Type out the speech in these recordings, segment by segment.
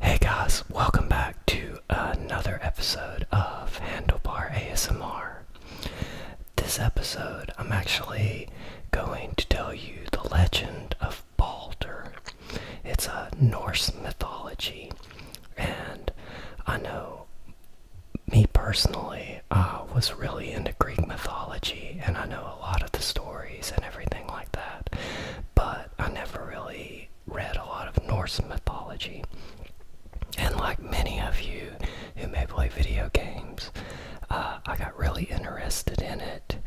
Hey guys, welcome back to another episode of Handlebar ASMR. This episode, I'm actually going to tell you the legend of Balder. It's a Norse mythology, and I know me personally, I ah, was really into Greek mythology, and I know a lot of the stories and everything like that, but I never really read a lot of Norse mythology. And like many of you who may play video games, uh, I got really interested in it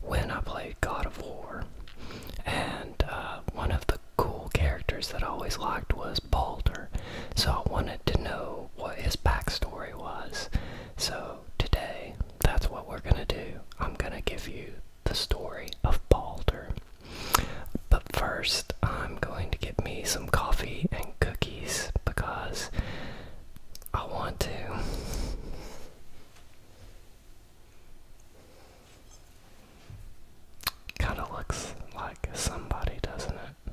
when I played God of War. And uh, one of the cool characters that I always liked was Balder, so I wanted to know what his backstory was. So, today, that's what we're going to do. I'm going to give you the story of Balder. But first, I'm going to get me some coffee and cookies because I want to. Kind of looks like somebody, doesn't it?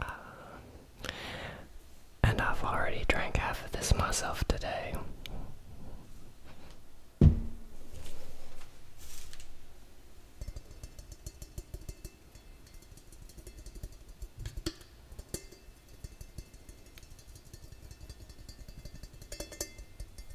Uh, and I've already drank half of this myself today.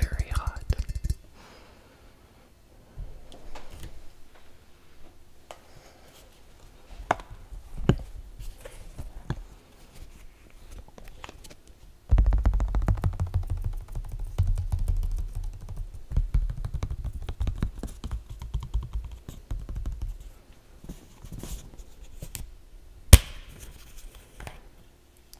Very hot.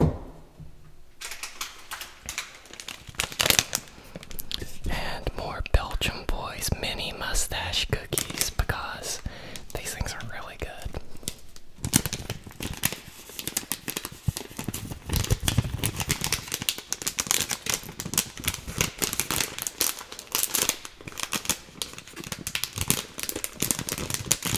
And more Belgium Boys mini mustache cookies because these things are really good.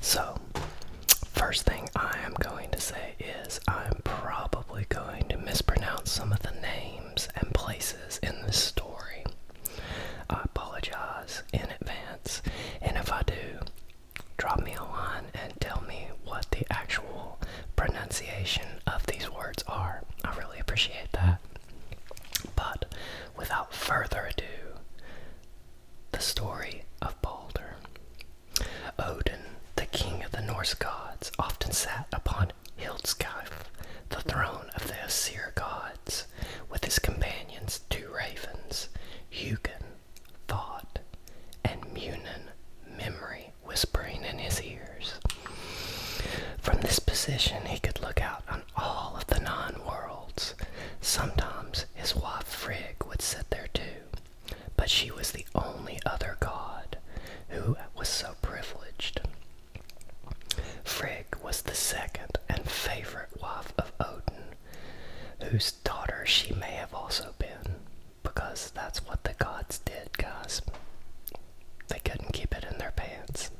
So, first thing I am going to say is I'm probably going to mispronounce some of the names and places in this story. I apologize in advance, and if I do, drop me a line and tell me what the actual pronunciation of these words are. I really appreciate that. But without further ado, the story of Balder. Odin, the king of the Norse gods, often sat upon Hildskjalf, the throne of the Asir gods, with his companions two ravens, Hugin, Thought, and Munin, Memory, whispering in his ears. From this position he could look out on all of the nine worlds. Sometimes his wife Frigg would sit there too, but she was the only other god who was so privileged. Frigg was the second and favorite wife of Odin, whose daughter she may have also been, because that's what the gods did, guys. They couldn't keep it in their pants.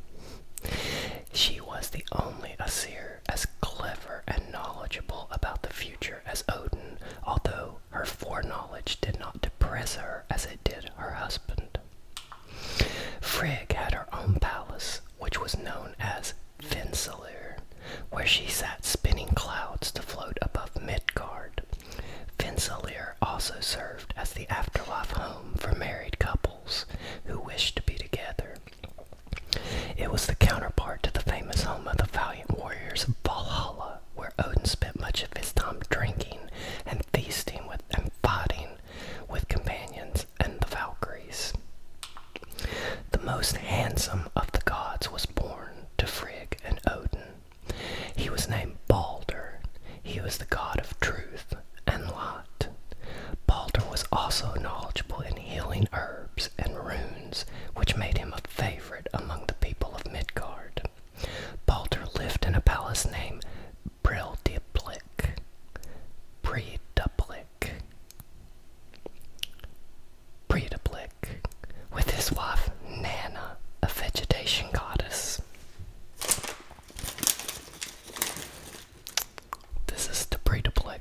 She was the only Asir as clever and knowledgeable about the future as Odin, although her foreknowledge did not depress her as it did her husband. Frigg had her own palace, which was known as Vinsalir, where she sat spinning clouds to float above Midgard. Vinsalir also served as the afterlife home for married couples who wished to be together. It was the counterpart to the famous home of the valiant warriors of Valhalla, where Odin spent much of his time drinking and feasting with and fighting with companions and the Valkyries. The most handsome of the gods was born to Frigg and Odin. He was named Balder. He was the god of truth and light. Balder was also knowledgeable in healing herbs and runes, which made him a favorite among the people of Midgard. Balder lived in a palace named Brildiblik. Breidablik. Breidablik. With his wife Nana, a vegetation goddess. This is the Breidablik.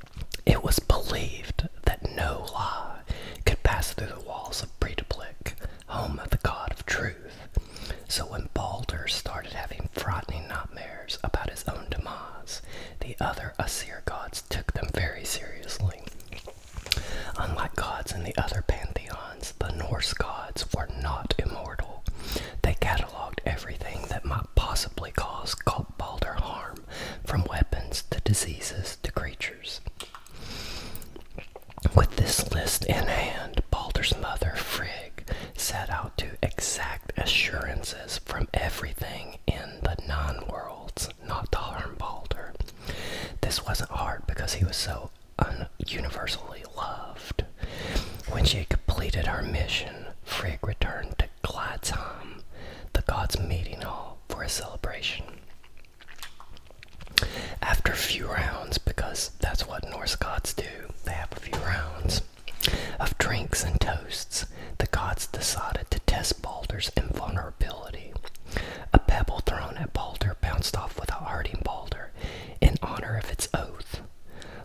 It was believed that no lie could pass through the walls of Breidablik, home of the god of truth. So when Balder started having frightening nightmares about his own demise, the other Asir gods took them very seriously. Unlike gods in the other pantheons, the Norse gods were not immortal. They catalogued everything that might possibly cause Balder harm from weapons to diseases to creatures. With this list in hand, Balder's mother, Frigg, set out to exact assurances from everything in the non worlds not to harm Balder. This wasn't hard because he was so universally loved. When she had completed her mission, Frigg returned to glad the gods' meeting hall for a celebration. After a few rounds, because that's what Norse gods do, they have a few rounds of drinks and toasts, the gods decided to test Balder's invulnerability. A pebble thrown at Balder bounced off without hurting Balder in honor of its oath.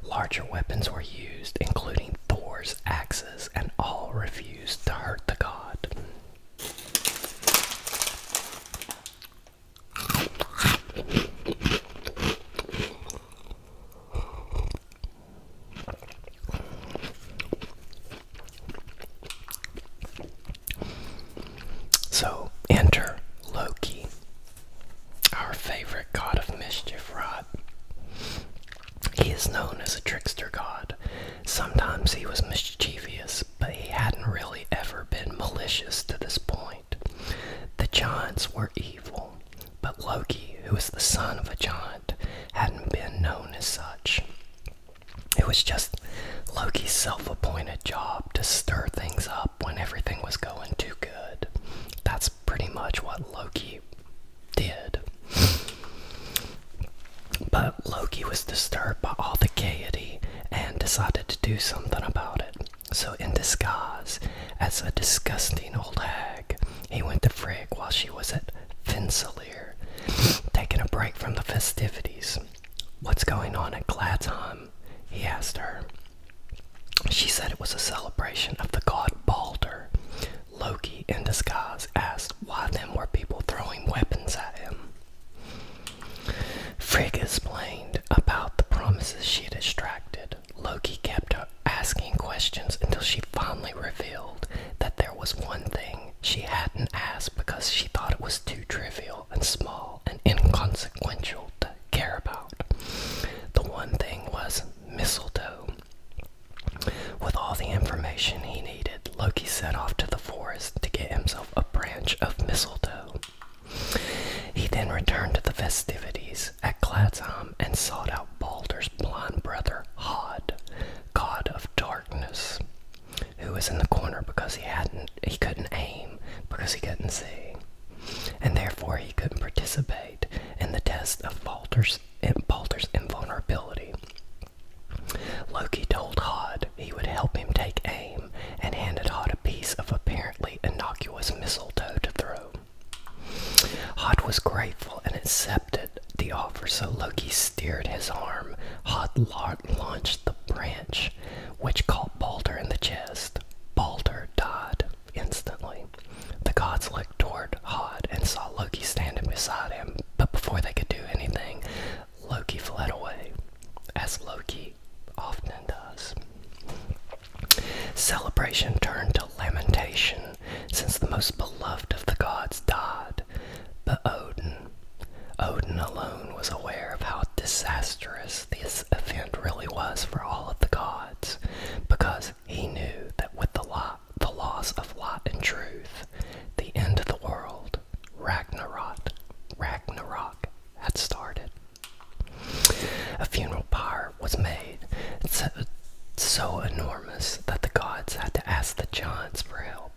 Larger weapons were used, including Thor's axe and all refuse to hurt the god. So enter Loki, our favorite god of mischief, Rod. He is known as a trickster god. Sometimes he was mischievous, but he hadn't really ever been malicious to this point. The giants were evil, but Loki, who was the son of a giant, hadn't been known as such. It was just Loki's self appointed job to stir things up when everything was going too good. That's pretty much what Loki did. But Loki was disturbed by all the gaiety and decided to do something about it. So, in disguise as a disgusting old hag, he went to Frigg while she was at Finsalier, taking a break from the festivities. What's going on at Gladheim? he asked her. She said it was a celebration of the god Balder, Loki, in disguise, asked why then were people throwing weapons at him. Frigg explained about the promises she had extracted. Loki kept asking questions until she finally revealed that there was one thing she hadn't asked because she thought it was too trivial and small and inconsequential to care about. The one thing was mistletoe. With all the information he needed, Loki set off to the forest to get himself a branch of mistletoe. He then returned to the festivities at Gladsheim and sought out Balder's blind brother Hod, god of darkness, who was in the corner because he hadn't he couldn't aim because he couldn't see, and therefore he couldn't participate in the test of Balder's Balder's, Balder's invulnerability. Loki told Hod he would help him take aim and handed Hod a piece of apparently innocuous mistletoe to throw. Hod was grateful and accepted the offer, so Loki steered his arm. Hod launched the branch, which caught Balder in the chest. Balder died instantly. The gods looked toward Hod and saw Loki standing beside him, but before they could do anything, Loki fled away, as Loki often does. Celebration turned to lamentation since the most beloved of the gods died, but Odin, Odin alone was aware of how disastrous this event really was for all of the gods, because he knew that with the, the loss of Lot and Truth, the end of the world, Ragnarok, Ragnarok had started. A funeral pyre was made, so, enormous that the gods had to ask the giants for help.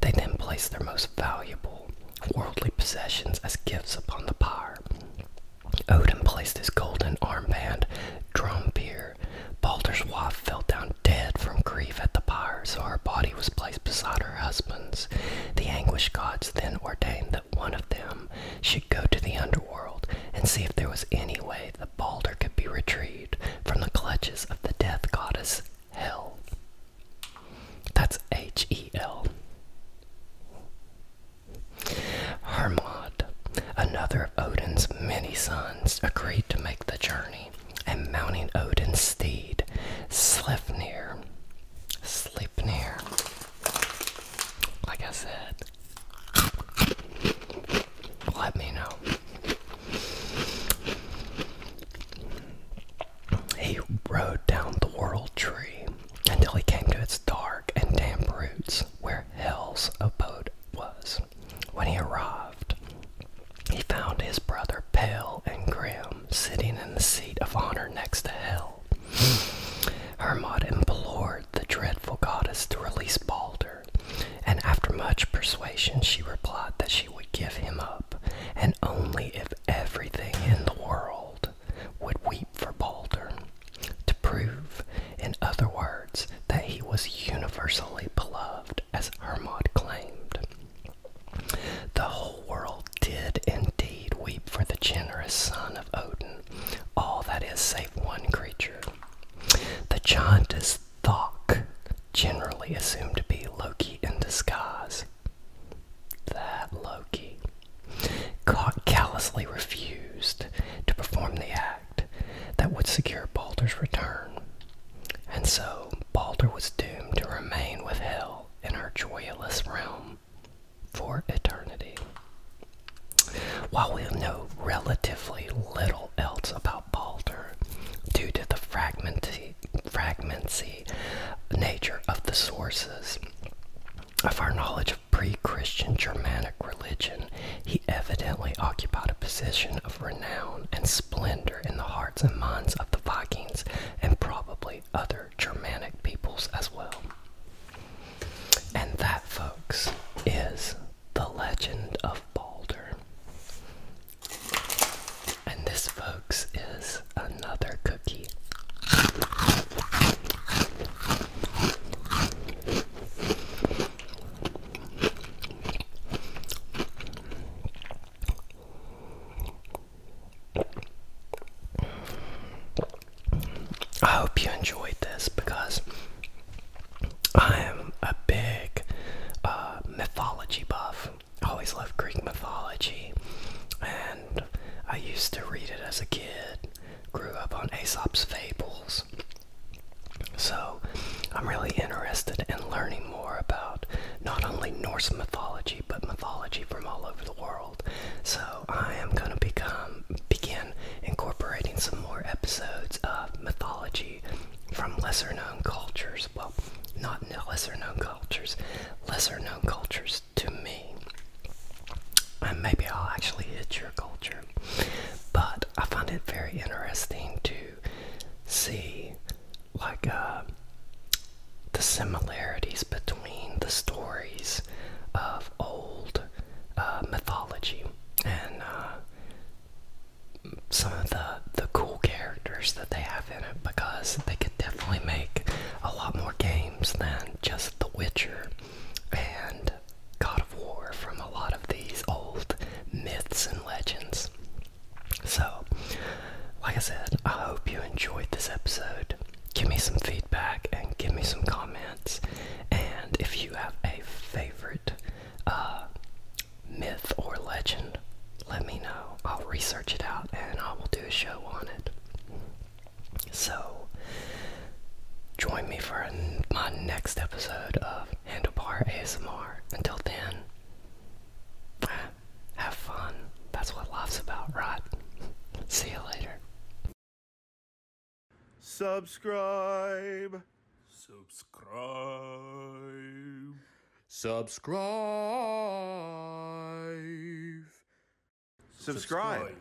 They then placed their most valuable worldly possessions as gifts upon the pyre. Odin placed his golden armband, Drompear, Balder's wife fell down dead from grief at the pyre, so her body was placed beside her husband's. The anguished gods then ordained that one of them should go to the underworld and see if there was any way that Balder could be retrieved from the clutches of the death goddess Hel. That's H E L. Hermod, another of Odin's many sons, agreed to make the journey, and mounting Odin's steed, Sleipnir, Sleipnir, like I said, let me know. He rode down the world tree until he came to its dark and damp roots where Hell's abode was. When he arrived, he found his brother Pale and Grim sitting in the seat of honor next to Hell. Hermod implored the dreadful goddess to release Balder, and after much persuasion, she replied that she would give him up, and only if everything in the world would weep for Balder to prove, in other words, that he was universally beloved, as Hermod claimed. The whole world did indeed weep for the generous son of Odin, all that is save one creature. The giantess Thok, generally assumed to be Loki in disguise. That Loki callously refused to perform the act that would secure Balder's return. And so Balder was doomed to remain with Hel in her joyless realm for eternity. While we know relatively little else about Balder, due to the fragmenty, fragmenty nature of the sources of our knowledge pre Christian Germanic religion, he evidently occupied a position of renown and splendor in the hearts and minds of the Vikings and probably other Germanic peoples as well. And that, folks, is the legend of Balder. And this, folks, is another cookie. I hope you enjoyed this because I am a big uh, mythology buff. I always loved Greek mythology, and I used to read it as a kid. Grew up on Aesop's Fables, so, I'm really interested in learning more about not only Norse mythology, but mythology from all over the world. So, I am going to become begin incorporating some more episodes of mythology from lesser known cultures. Well, not lesser known cultures, lesser known cultures to me. And maybe I'll actually hit your culture but I find it very interesting to see, like, uh, the similarities between the stories of old uh, mythology and uh, some of the the cool characters that they have in it because they could definitely make a lot more games than just The Witcher and God of War from a lot of these old myths and legends. So, like I said, I hope you enjoyed this episode. Give me some feedback and give me some comments. And if you have a favorite uh, myth or legend, let me know. I'll research it out and I will do a show on it. So, join me for my next episode of Handlebar ASMR. Until then, have fun. That's what life's about, right? See you later. Subscribe. Subscribe. Subscribe. Subscribe. Subscribe.